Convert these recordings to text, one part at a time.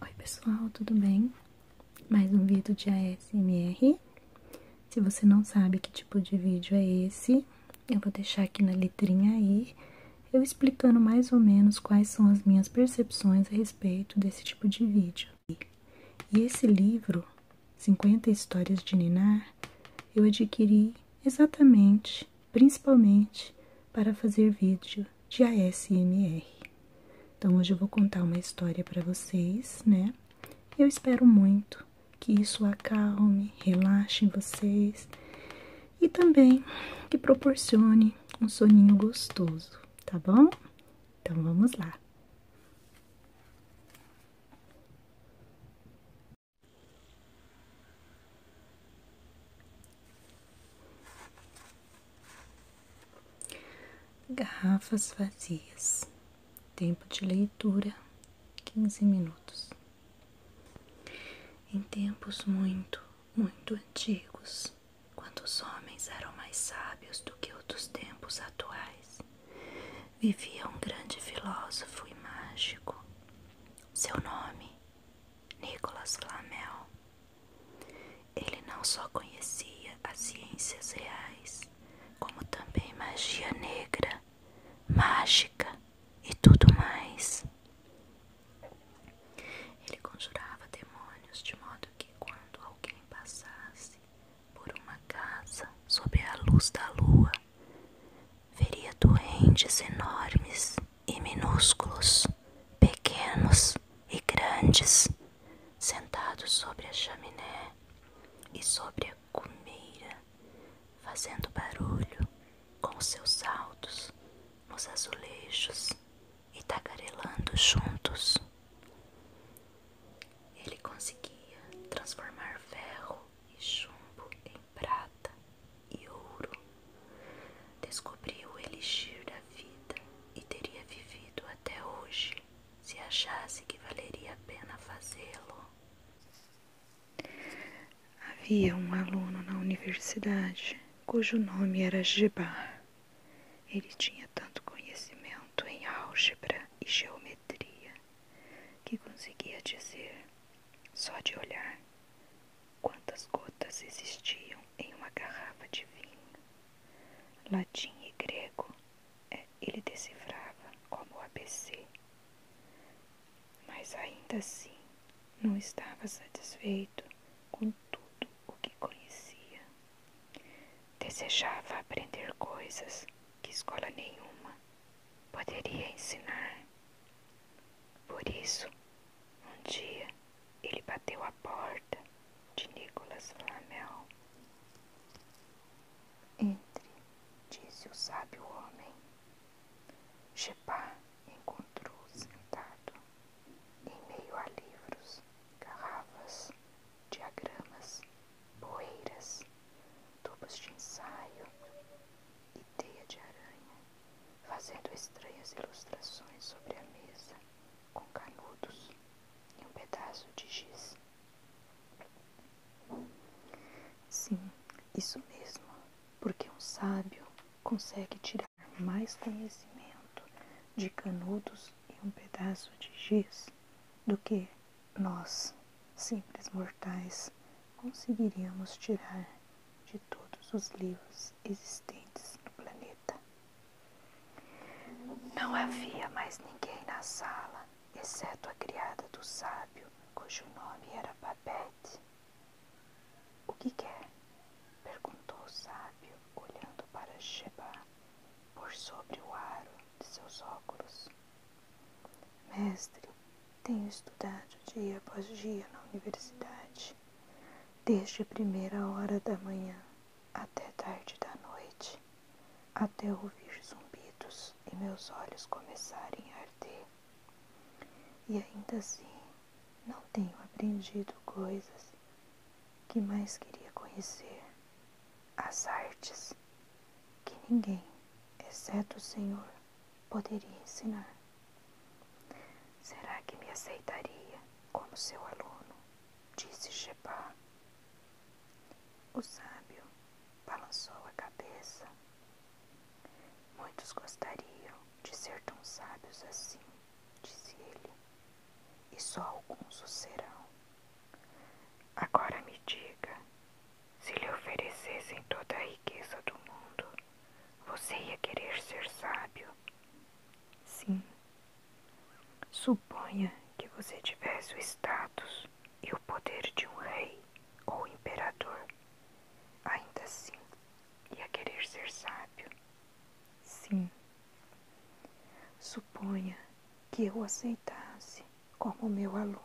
Oi pessoal, tudo bem? Mais um vídeo de ASMR. Se você não sabe que tipo de vídeo é esse, eu vou deixar aqui na letrinha aí, eu explicando mais ou menos quais são as minhas percepções a respeito desse tipo de vídeo. E esse livro, 50 Histórias de Ninar, eu adquiri exatamente, principalmente, para fazer vídeo de ASMR. Então hoje eu vou contar uma história para vocês, né? Eu espero muito que isso acalme, relaxe vocês e também que proporcione um soninho gostoso, tá bom? Então vamos lá. Garrafas vazias. Tempo de leitura: 15 minutos. Em tempos muito, muito antigos, quando os homens eram mais sábios do que os dos tempos atuais, vivia um grande filósofo e mágico. Seu nome, Nicolas Flamel, ele não só conhecia as ciências reais, como também magia negra, mágica e tudo mais. Ele conjurava demônios de modo que, quando alguém passasse por uma casa sob a luz da lua, veria duendes enormes e minúsculos, pequenos e grandes, sentados sobre a chaminé e sobre a cumeira, fazendo barulho com seus saltos nos azulejos e tagarelando juntos. Ele conseguia transformar ferro e chumbo em prata e ouro. Descobriu o elixir da vida e teria vivido até hoje se achasse que valeria a pena fazê-lo. Havia um aluno na universidade cujo nome era Gebar. Ele tinha tanto conhecimento em álgebra e geometria que conseguia dizer, só de olhar, quantas gotas existiam em uma garrafa de vinho. Latim e grego é, ele decifrava como o ABC. Mas ainda assim não estava satisfeito com tudo o que conhecia. Desejava aprender coisas que escola nenhuma poderia ensinar. Por isso, um dia, ele bateu à porta de Nicolas Flamel. Entre, disse o sábio homem. Chepá encontrou-o sentado, em meio a livros, garrafas, diagramas, poeiras, tubos de ensaio e teia de aranha, fazendo estranhas ilustrações sobre a mesa com canudos e um pedaço de giz. Sim, isso mesmo, porque um sábio consegue tirar mais conhecimento de canudos e um pedaço de giz do que nós, simples mortais, conseguiríamos tirar de todos os livros existentes no planeta. Não havia mais ninguém na sala, exceto a criada do sábio, cujo nome era Babette. O que quer? perguntou o sábio, olhando para Sheba por sobre o aro de seus óculos. Mestre, tenho estudado dia após dia na universidade desde a primeira hora da manhã até tarde da noite, até ouvir zumbidos e meus olhos começarem a arder. E ainda assim, não tenho aprendido coisas que mais queria conhecer, as artes que ninguém, exceto o Senhor, poderia ensinar. Será que me aceitaria como seu aluno? disse Sheba. O sábio balançou a cabeça. Muitos gostariam de ser tão sábios assim, disse ele, e só alguns o serão. Agora me diga, se lhe oferecessem toda a riqueza do mundo, você ia querer ser sábio? Sim. Suponha que você tivesse o status e o poder de um rei ou imperador. Ainda assim, ia querer ser sábio. Sim. Suponha que eu o aceitasse como meu aluno.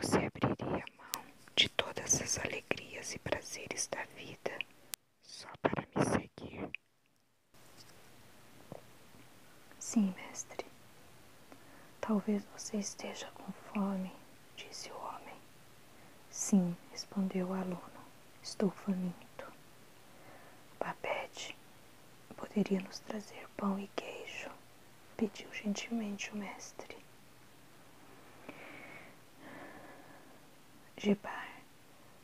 Você abriria a mão de todas as alegrias e prazeres da vida só para me seguir? Sim, mestre. Talvez você esteja com fome, disse o homem. Sim, respondeu o aluno. Estou faminto. Babette poderia nos trazer pão e queijo, pediu gentilmente o mestre. Gebar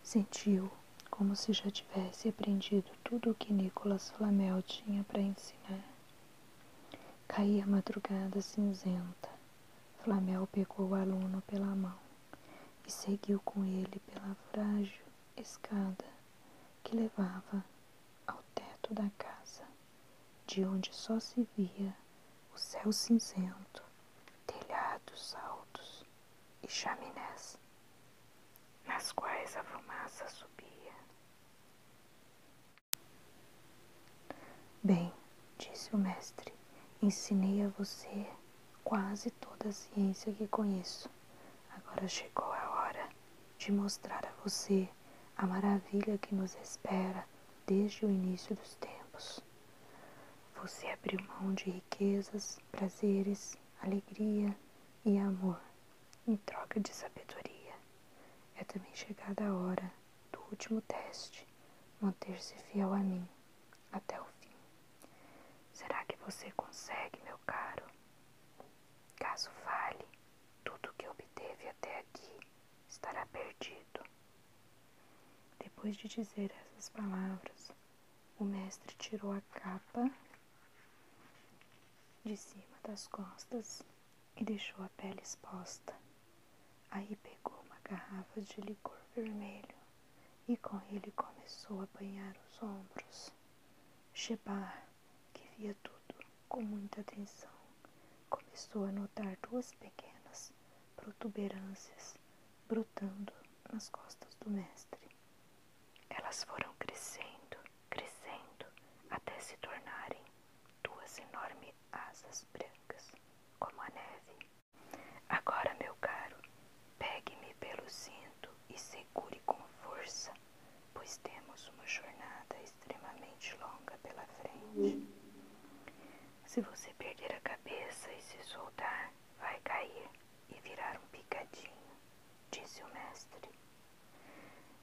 sentiu como se já tivesse aprendido tudo o que Nicolas Flamel tinha para ensinar. Caía a madrugada cinzenta. Flamel pegou o aluno pela mão e seguiu com ele pela frágil escada que levava ao teto da casa de onde só se via o céu cinzento, telhados altos e chaminés, nas quais a fumaça subia. Bem, disse o mestre, ensinei a você quase toda a ciência que conheço. Agora chegou a hora de mostrar a você a maravilha que nos espera desde o início dos tempos. Você abriu mão de riquezas, prazeres, alegria e amor em troca de sabedoria. É também chegada a hora do último teste: manter-se fiel a mim até o fim. Será que você consegue, meu caro? Caso falhe, tudo o que obteve até aqui estará perdido. Depois de dizer essas palavras, o mestre tirou a capa de cima das costas e deixou a pele exposta. Aí pegou uma garrafa de licor vermelho e com ele começou a banhar os ombros. Shebar, que via tudo com muita atenção, começou a notar duas pequenas protuberâncias brotando nas costas do mestre. Elas foram crescendo, crescendo, até se tornarem duas enormes asas brancas, como a neve. Agora, meu caro, pegue-me pelo cinto e segure com força, pois temos uma jornada extremamente longa pela frente. Se você perder a cabeça e se soltar, vai cair e virar um picadinho, disse o mestre.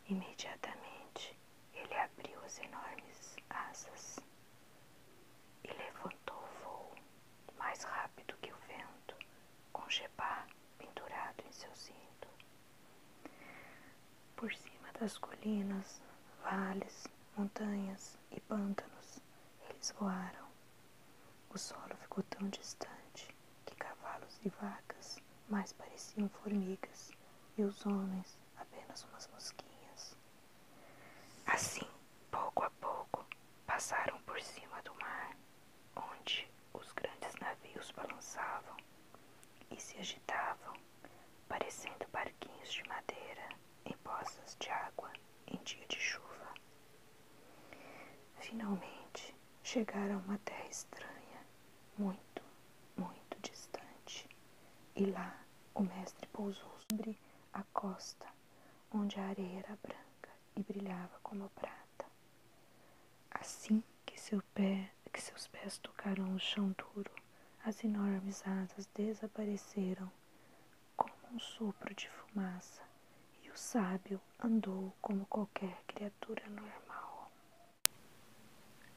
Imediatamente ele abriu as enormes asas e levantou o vôo mais rápido que o vento, com Jebá pendurado em seu cinto por cima das colinas, vales, montanhas e pântanos. Eles voaram. O solo ficou tão distante que cavalos e vacas mais pareciam formigas e os homens apenas umas mosquinhas. Assim, pouco a pouco, passaram por cima do mar, onde os grandes navios balançavam e se agitavam parecendo barquinhos de madeira em poças de água em dia de chuva. Finalmente chegaram a uma terra estranha, muito, muito distante, e lá o mestre pousou sobre a costa, onde a areia era branca e brilhava como prata. Assim que, que seus pés tocaram o chão duro, as enormes asas desapareceram como um sopro de fumaça e o sábio andou como qualquer criatura normal.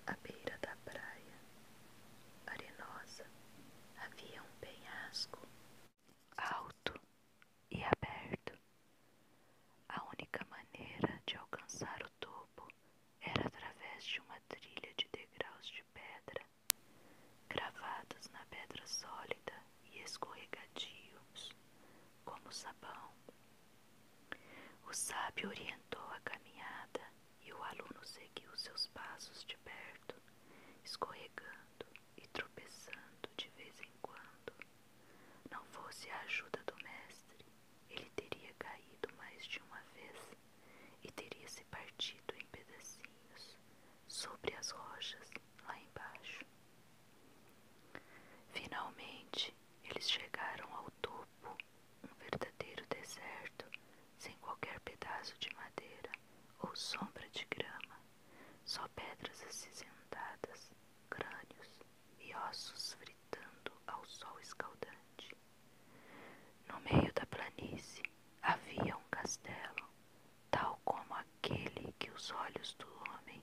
À beira da praia, arenosa, havia um penhasco alto e aberto. A única maneira de alcançar o topo era através de uma trilha de degraus de pedra, cravados na pedra sólida e escorregadios, como sabão. O sábio orientou a caminhada e o aluno seguiu seus passos de perto, escorregando e tropeçando de vez em quando. Não fosse a ajuda do mestre, ele teria caído mais de uma vez e teria se partido em pedacinhos sobre as rochas lá embaixo. Finalmente, eles chegaram ao topo, um verdadeiro deserto, sem qualquer pedaço de madeira ou sombra de grama, só pedras acinzentadas, crânios e ossos fritando ao sol escaldante. No meio da planície havia um castelo, tal como aquele que os olhos do homem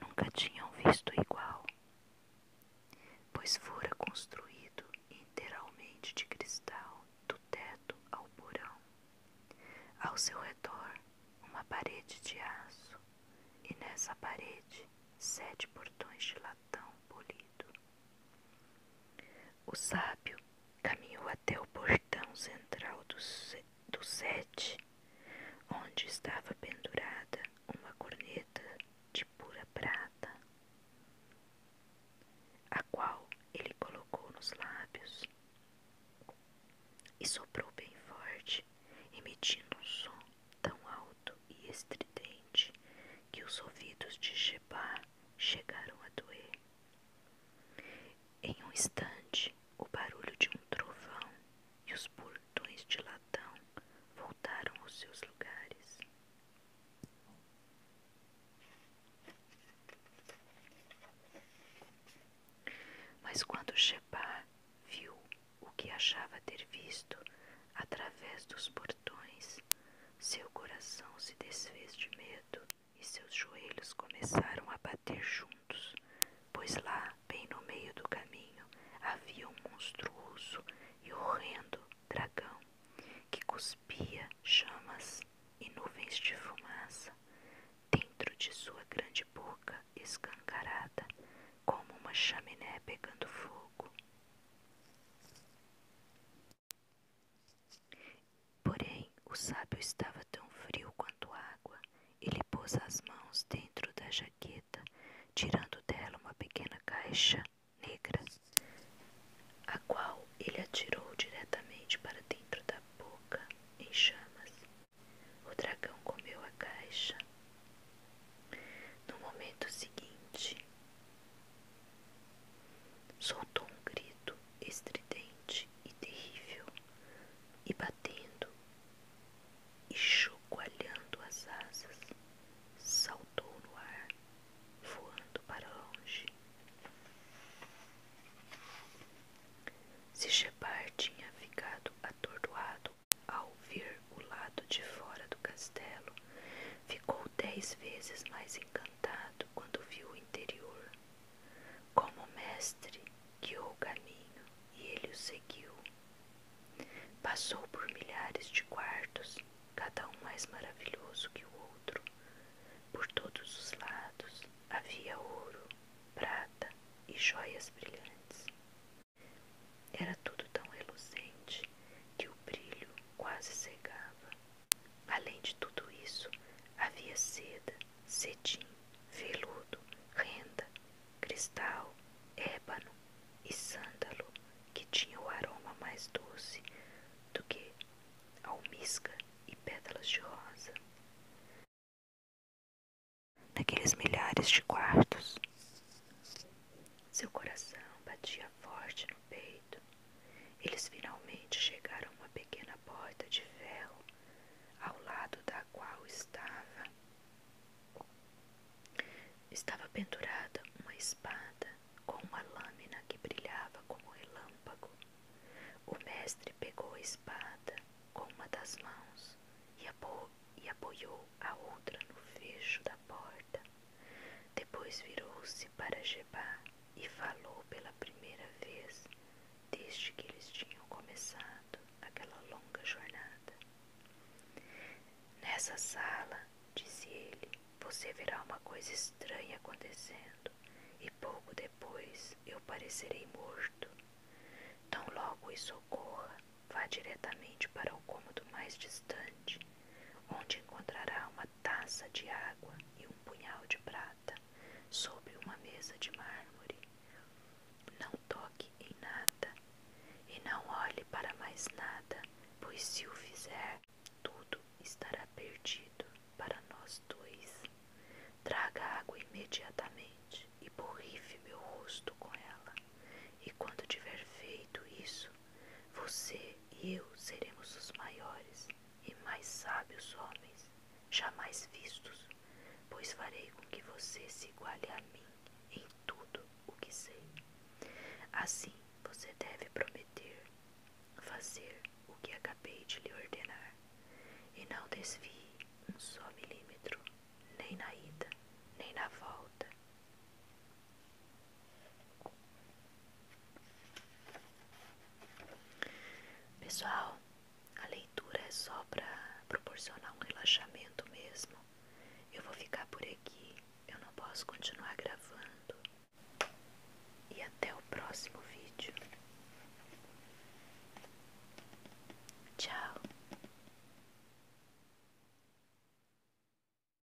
nunca tinham visto igual, pois fora construído inteiramente de cristal, do teto ao porão. Ao seu redor, uma parede de aço, e nessa parede, sete portões de latão polido, o sábio caminhou até o portão central do, do sete, onde estava pendurada uma corneta de pura prata, a qual ele colocou nos lábios e soprou bem forte, emitindo um som tão alto e estridente que os ouvidos de Jebá chegaram a doer. Em um instante, o barulho de um trovão e os portões de latão voltaram aos seus lugares. Mas quando Sheba viu o que achava ter visto, através dos portões. Seu coração se desfez de medo e seus joelhos começaram a bater juntos, pois lá, bem no meio do caminho, havia um monstruoso e horrendo dragão que cuspia chamas e nuvens de fumaça dentro de sua grande boca escancarada, como uma chaminé pegando fogo. Porém, o sábio estava tão frio quanto água. Ele pôs as mãos dentro da jaqueta, tirando dela uma pequena caixa negra, a qual ele atirou diretamente para dentro da boca em chamas. O dragão comeu a caixa. No momento seguinte, Soltou um grito estridente e terrível, e batendo e chacoalhando as asas, saltou no ar, voando para longe. Se Shepard tinha ficado atordoado ao ver o lado de fora do castelo, ficou dez vezes mais encantado quando viu o interior. Como o mestre guiou o caminho e ele o seguiu. Passou por milhares de quartos, cada um mais maravilhoso que o outro. Por todos os lados havia ouro, prata e joias brilhantes. Era tudo tão reluzente que o brilho quase cegava. Além de tudo isso, havia seda, cetim, veludo, renda, cristal, ébano e sândalo que tinha o aroma mais doce do que almisca e pétalas de rosa. Naqueles milhares de quartos, seu coração batia forte eles finalmente chegaram a uma pequena porta de ferro, ao lado da qual estava estava pendurada uma espada com uma lâmina que brilhava como relâmpago. O mestre pegou a espada com uma das mãos e apoiou a outra no fecho da porta. Depois virou-se para Jebá e falou pela primeira vez desde que eles tinham começado aquela longa jornada. Nessa sala, disse ele, você verá uma coisa estranha acontecendo, e pouco depois eu parecerei morto. Tão logo isso ocorra, vá diretamente para o cômodo mais distante, onde encontrará uma taça de água e um punhal de prata sobre uma mesa de mármore. Não toque em nada e não olhe para mais nada, pois se o fizer, tudo estará perdido para nós dois. Traga água imediatamente e borrife meu rosto com ela. E quando tiver feito isso, você e eu seremos os maiores e mais sábios homens jamais vistos, pois farei com que você se iguale a mim em tudo o que sei. Assim você deve prometer fazer o que acabei de lhe ordenar, e não desvie um só milímetro, nem na ida, nem na volta. Pessoal, a leitura é só para proporcionar um relaxamento mesmo. Eu vou ficar por aqui, eu não posso continuar gravando. E até o próximo vídeo. Tchau.